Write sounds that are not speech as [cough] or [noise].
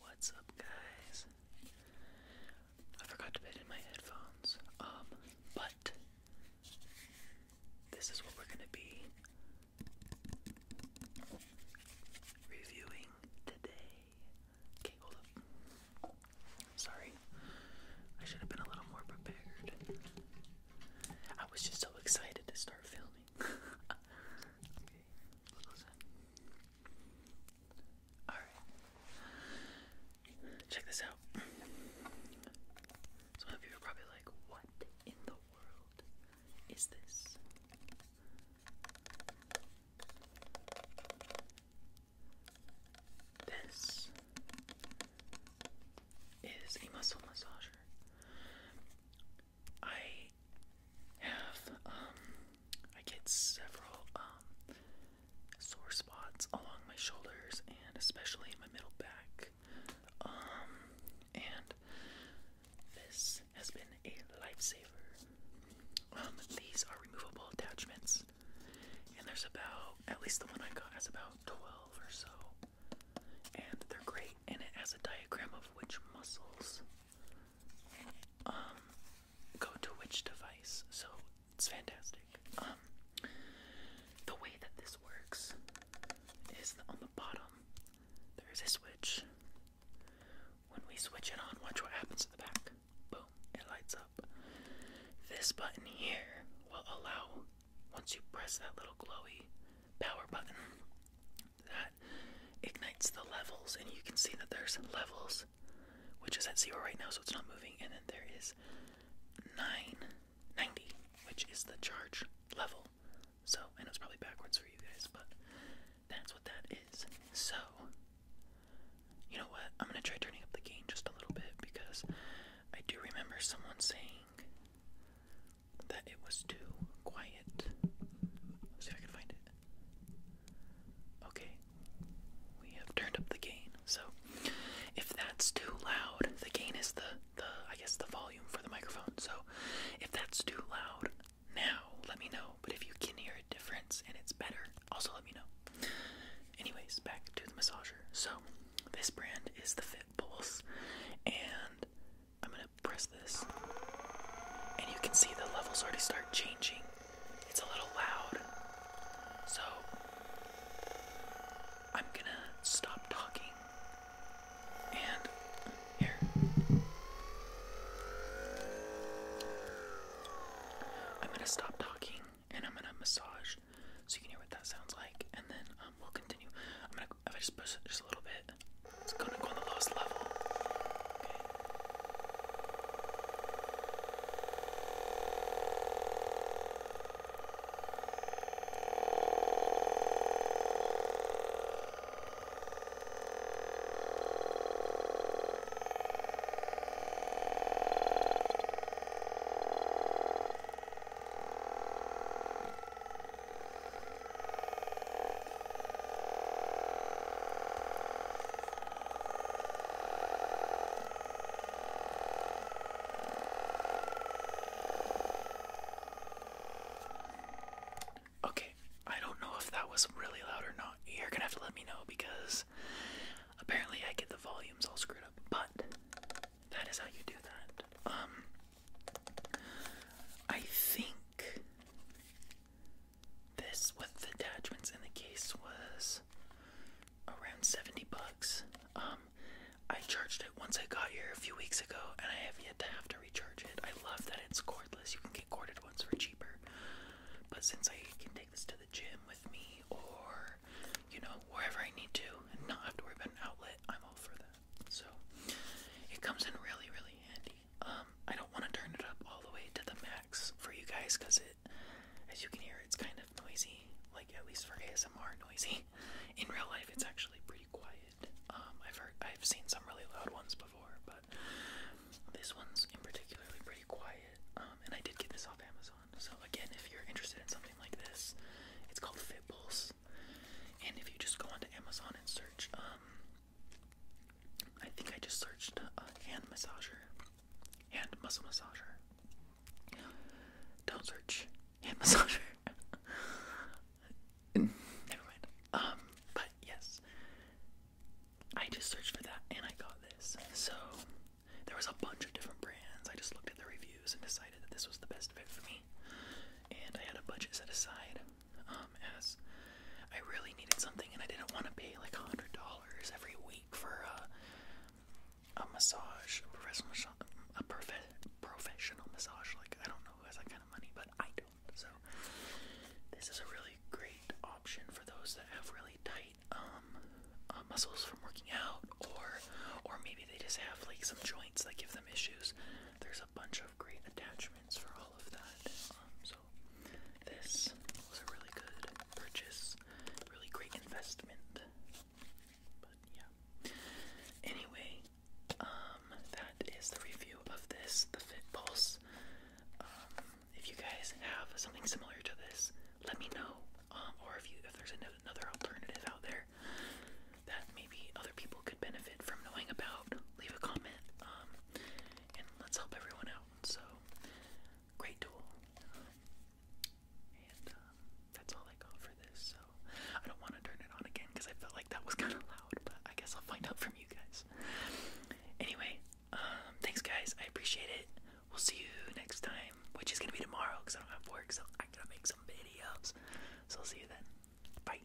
What's up, guys? I forgot to put in my headphones. Um, but this is what we're gonna be reviewing today. Okay, hold up. Sorry, I should have been a little more prepared. I was just so excited to start filming. [laughs] Alright. Check this out. Some of you are probably like, what in the world is this? This is a muscle massager. I have, um, I get several, um, sore spots along my shoulders and especially in my middle back. Um, and this has been a lifesaver. Um, these are removable attachments, and there's about, at least the one I got has about 12 or so and they're great. And it has a diagram of which muscles um, go to which device, so it's fantastic. Um, the way that this works is that on the bottom there is a switch. When we switch it on, watch what happens at the back. Boom, it lights up. This button here will allow once you press that little glowy power button, that ignites the levels, and you can see that there's levels, which is at zero right now, so it's not moving, and then there is 990, which is the charge level. So, I know it's probably backwards for you guys, but that's what that is. So, you know what? I'm gonna try turning up the gain just a little bit because I do remember someone saying that it was too quiet. Let's see if I can find it. Okay, we have turned up the gain. So, if that's too loud, the gain is the the I guess the volume for the microphone. So, if that's too loud now, let me know. But if you can hear a difference and it's better, also let me know. Anyways, back to the massager. So, this brand is the Fit Pulse, and I'm gonna press this, and you can see the levels already start changing. It's a little loud, so I'm gonna stop talking. And here, I'm gonna stop talking and I'm gonna massage so you can hear what that sounds like, and then um, we'll continue. I'm gonna, if I just push it just a little bit, it's gonna go on the lowest level. Okay, Okay, I don't know if that was really loud or not. You're gonna have to let me know because Apparently, I get the volumes all screwed up, but that is how you do that. Um, I think this with the attachments in the case was around 70 bucks. Um, I charged it once I got here a few weeks ago, and I have yet to have to recharge it. I love that it's cordless, you can get corded ones for cheaper. But since I can take this to gym with me or, you know, wherever I need to and not have to worry about an outlet, I'm all for that. So it comes in really, really handy. Um, I don't want to turn it up all the way to the max for you guys because it, as you can hear, it's kind of noisy. Like at least for ASMR, noisy. In real life, it's actually pretty quiet. Um, I've heard, I've seen some really loud ones before, but this one's in particularly pretty quiet. Um, and I did get this off Amazon. So again, if you're interested in something like this, it's called Fitbulls. And if you just go onto Amazon and search, um, I think I just searched a uh, hand massager, hand muscle massager. Don't search hand [laughs] massager. Never mind. Um, but yes, I just searched for that and I got this. So there was a bunch of different brands. I just looked at the reviews and decided that this was the best fit for me. And I had a budget set aside um, as I really needed something and I didn't want to pay like $100 every week for a, a massage, a professional, a prof professional massage. Like, I don't know who has that kind of money, but I do. So this is a really great option for those that have really tight um, uh, muscles from working out, or or maybe they just have like some joints that give them issues. There's a bunch of great attachments for all of that. Um, so this was a really good purchase, really great investment. But yeah. Anyway, um, that is the review of this, the Fit Pulse. Um, if you guys have something similar to this, let me know. Um, or if you if there's another alternative out there that maybe other people could benefit from knowing about, leave a comment. Um, and let's help everyone out. So, great tool. and that's all I got for this. So, I don't want to turn it on again because I felt like that was kind of loud. But I guess I'll find out from you guys. Anyway, um, thanks guys. I appreciate it. We'll see you next time, which is gonna be tomorrow because I don't have work, so I gotta make some videos. So I'll see you then. Bye.